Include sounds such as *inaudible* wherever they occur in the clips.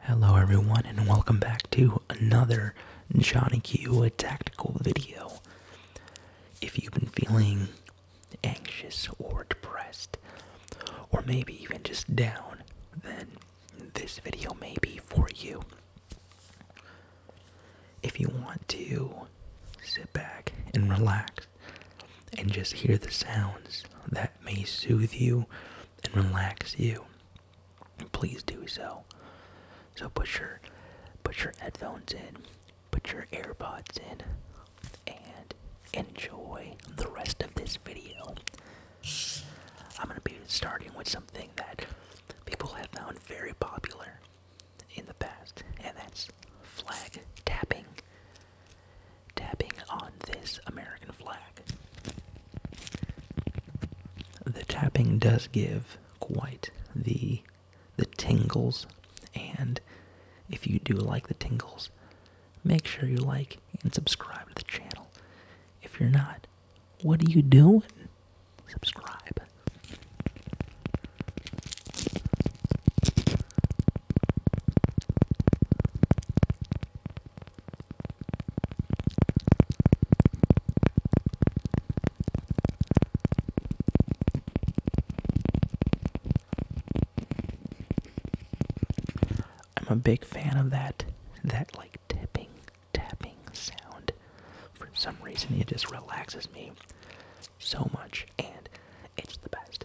Hello everyone and welcome back to another Johnny Q tactical video. If you've been feeling anxious or depressed or maybe even just down, then this video may be for you. If you want to sit back and relax and just hear the sounds that may soothe you and relax you please do so. So put your put your headphones in, put your AirPods in, and enjoy the rest of this video. I'm gonna be starting with something that people have found very popular in the past, and that's flag tapping. Tapping on this American flag. The tapping does give quite the the tingles, and if you do like the tingles, make sure you like and subscribe to the channel. If you're not, what are you doing? Subscribe. I'm a big fan of that that like tapping tapping sound. For some reason it just relaxes me so much and it's the best.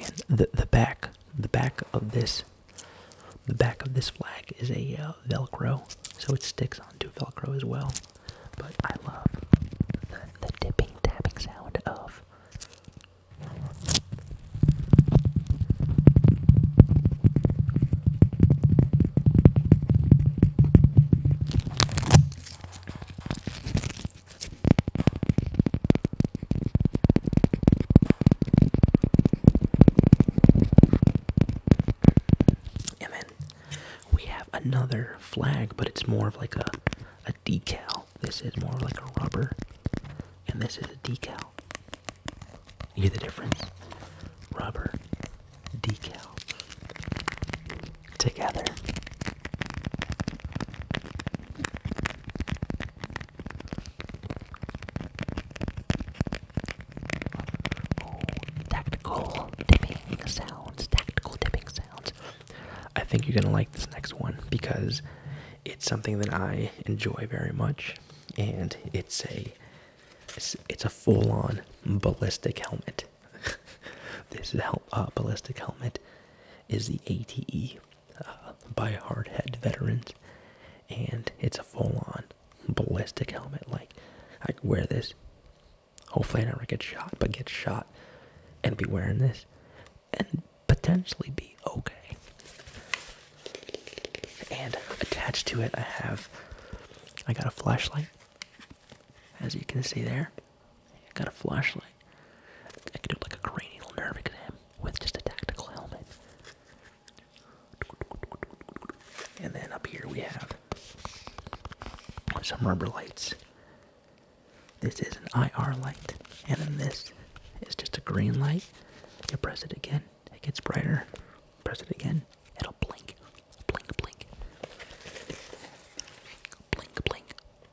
And the the back the back of this the back of this flag is a uh, Velcro, so it sticks onto Velcro as well. But I love the, the dipping tapping sound of. And we have another flag, but it's more of like a a decal. This is more like a rubber, and this is a decal. You hear the difference? Rubber decal together. tactical dipping sounds, tactical dipping sounds. I think you're gonna like this next one because it's something that I enjoy very much, and it's a it's, a full-on ballistic helmet. *laughs* this is a uh, ballistic helmet, is the ATE uh, by hardhead veterans, and it's a full-on ballistic helmet. Like I wear this. Hopefully, I never get shot, but get shot and be wearing this, and potentially be okay. And attached to it, I have I got a flashlight, as you can see there. I got a flashlight. I can do like a cranial nerve exam with just a tactical helmet. And then up here we have some rubber lights. This is an IR light, and then this is just a green light. You press it again, it gets brighter. Press it again, it'll blink. Blink, blink. Blink, blink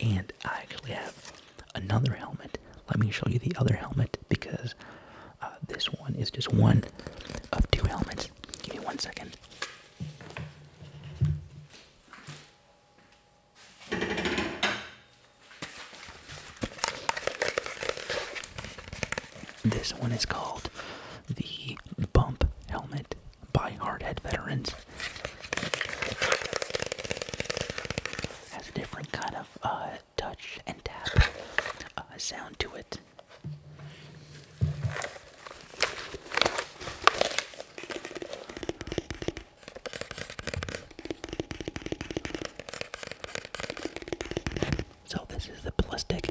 And I actually have another helmet. Let me show you the other helmet because uh, this one is just one of two helmets. Give me one second. This one is called the bump helmet by hardhead veterans has a different kind of uh, touch and tap uh, sound to it. So this is the Plastic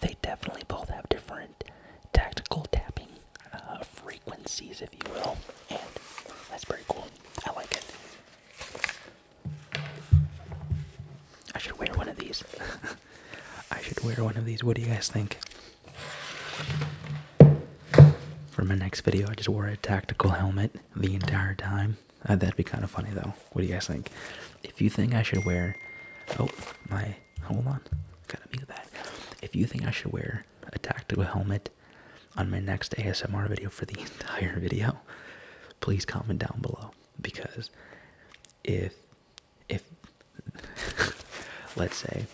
they definitely both have different tactical tapping uh, frequencies, if you will, and that's pretty cool. I like it. I should wear one of these. *laughs* I should wear one of these. What do you guys think? For my next video, I just wore a tactical helmet the entire time. Uh, that'd be kind of funny though. What do you guys think? If you think I should wear, oh my, hold on, gotta mute that. If you think I should wear a tactical helmet on my next ASMR video for the *laughs* entire video, please comment down below because if if *laughs* let's say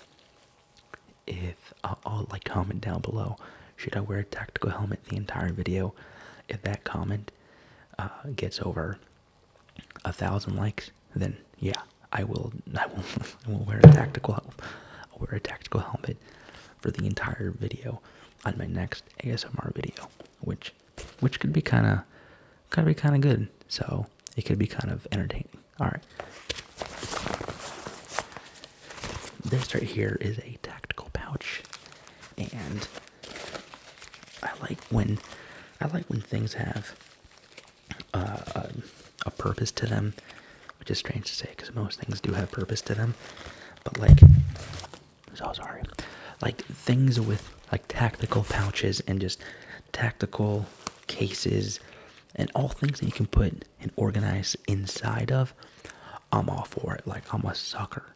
if I'll like comment down below should i wear a tactical helmet the entire video if that comment uh, gets over a thousand likes, then yeah, I will. I will. *laughs* I will wear a tactical. I'll wear a tactical helmet for the entire video on my next ASMR video, which which could be kind of could be kind of good. So it could be kind of entertaining. All right. This right here is a tactical pouch, and I like when I like when things have uh, a purpose to them, which is strange to say because most things do have purpose to them. But like, so sorry, like things with like tactical pouches and just tactical cases and all things that you can put and organize inside of. I'm all for it. Like I'm a sucker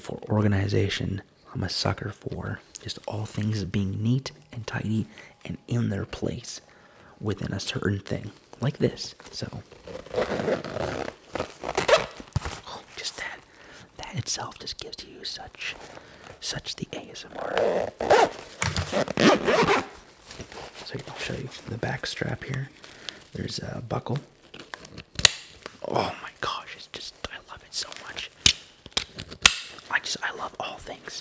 for organization I'm a sucker for just all things being neat and tidy and in their place within a certain thing, like this. So, *sighs* just that. That itself just gives you such, such the ASMR. So I'll show you the back strap here. There's a buckle Oh my gosh, it's just I love it so much. I just I love all things.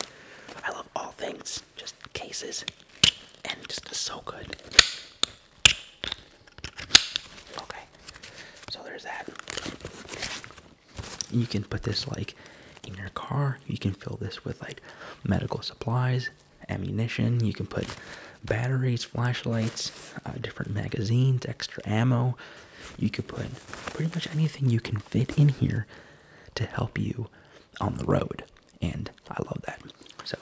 I love all things. Just cases. And just so good. Okay. So there's that. You can put this like in your car. You can fill this with like medical supplies, ammunition. You can put batteries, flashlights, uh, different magazines, extra ammo, you could put pretty much anything you can fit in here to help you on the road, and I love that. So,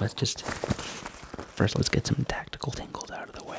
let's just first let's get some tactical tingles out of the way.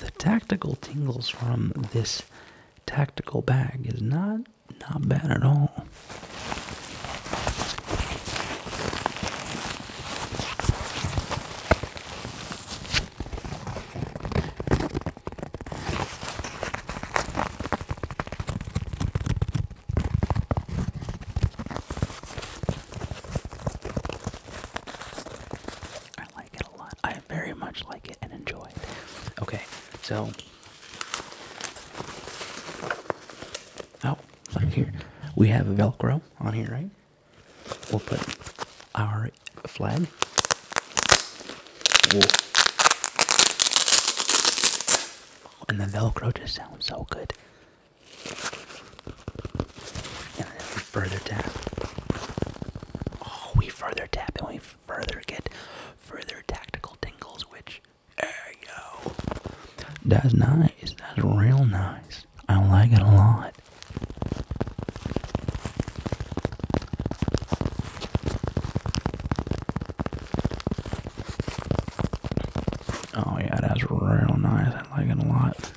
The tactical tingles from this tactical bag is not not bad at all. I like it a lot. I very much like it and enjoy it. Okay, so. Oh, look here. We have Velcro on here, right? We'll put our flag. Whoa. And the Velcro just sounds so good. And we further tap. Oh, we further tap and we further get further tactical tingles, which, there you go. That's nice. That's real nice. I like it a lot. Oh yeah, that's real nice. I like it a lot.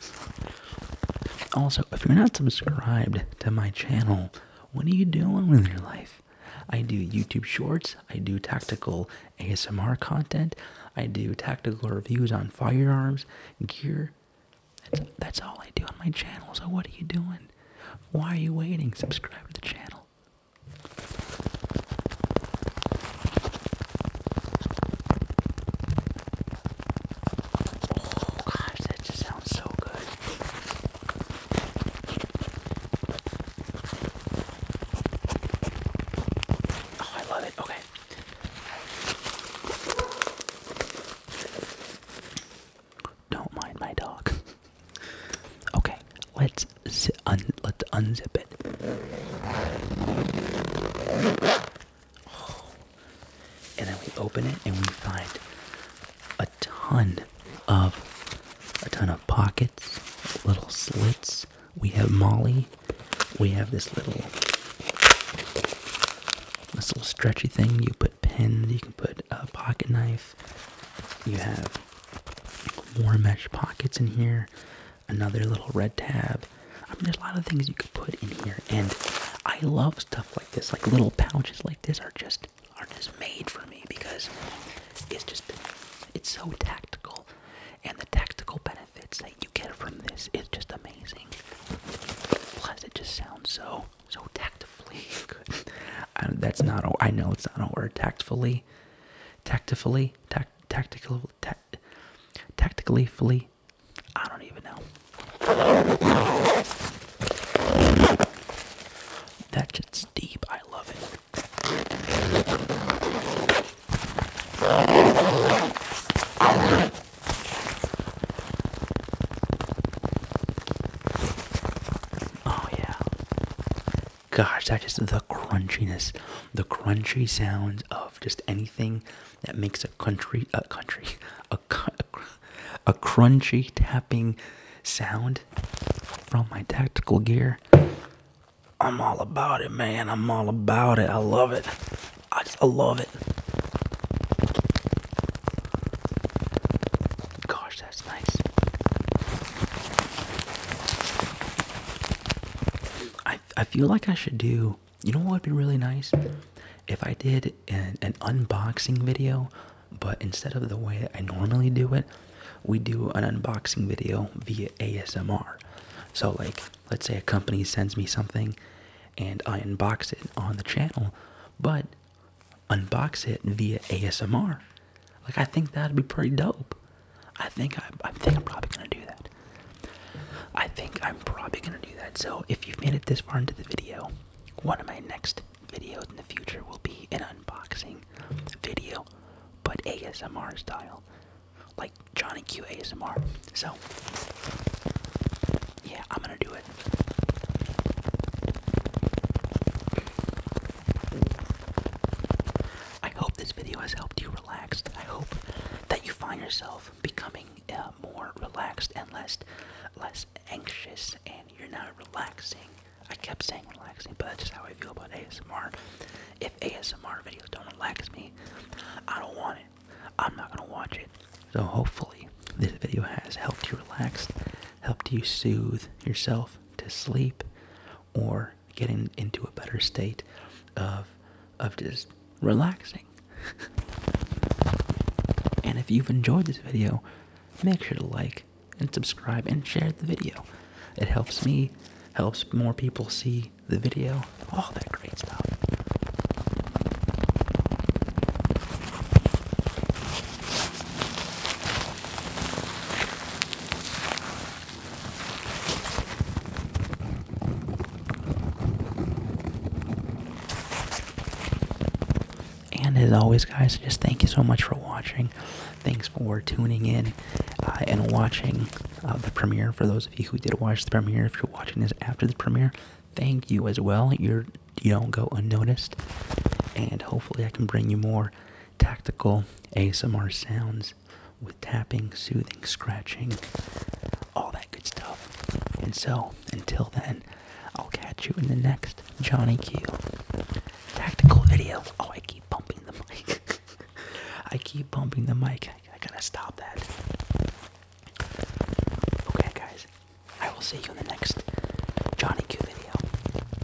Also, if you're not subscribed to my channel, what are you doing with your life? I do YouTube shorts, I do tactical ASMR content, I do tactical reviews on firearms, gear. That's, that's all I do on my channel. So what are you doing? Why are you waiting? Subscribe to the channel. Oh gosh, that just sounds so good. Oh, I love it. Okay. Don't mind my dog. *laughs* okay, let's let's unzip it. *sighs* And then we open it and we find a ton of a ton of pockets, little slits. We have Molly. We have this little this little stretchy thing. You put pins. You can put a pocket knife. You have more mesh pockets in here another little red tab. I mean, there's a lot of things you could put in here, and I love stuff like this. Like little pouches like this are just are just made for me because it's just it's so tactical, and the tactical benefits that you get from this is just amazing. Plus, it just sounds so so tactfully *laughs* I, that's not a, I know it's not a word. Tactfully, tactfully, tact, tactical, tactically, fully, I don't even know. That shit's deep. I love it. Oh, yeah. Gosh, that is the crunchiness, the crunchy sounds of just anything that makes a country a country a a crunchy tapping sound from my tactical gear. I'm all about it, man. I'm all about it. I love it. I, I love it. Gosh, that's nice. I I feel like I should do you know what would be really nice if I did an, unboxing video, but instead of the way I normally do it, we do an unboxing video via ASMR. So, like, let's say a company sends me something and I unbox it on the channel, but unbox it via ASMR. Like, I think that'd be pretty dope. I think I, I think I'm probably gonna do that. I think I'm probably gonna do that. So if you've made it this far into the video, one of my next videos in the future will be an unboxing video, but ASMR style, like Johnny Q ASMR. So yeah, I'm gonna do it. I hope this video has helped you relax. I hope that you find yourself becoming uh, more relaxed and less less anxious and you're not relaxing i kept saying relaxing but that's just how i feel about asmr if asmr videos don't relax me i don't want it i'm not going to watch it so hopefully this video has helped you relax helped you soothe yourself to sleep or getting into a better state of of just relaxing. and if you've enjoyed this video, make sure to like and subscribe and share the video. It helps me, helps more people see the video, all that great stuff. And as always, guys, just thank you so much for watching. Thanks for tuning in uh, and watching uh, the premiere. For those of you who did watch the premiere, if you're watching this after the premiere, thank you as well. You're you do not go unnoticed, and hopefully, I can bring you more tactical ASMR sounds with tapping, soothing, scratching, all that good stuff. And so, until then, I'll catch you in the next Johnny Q tactical video. Oh, I keep bumping the mic. *laughs* I keep bumping the mic. I gotta stop that. Okay, guys. I will see you in the next Johnny Q video.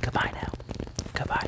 Goodbye now. Goodbye.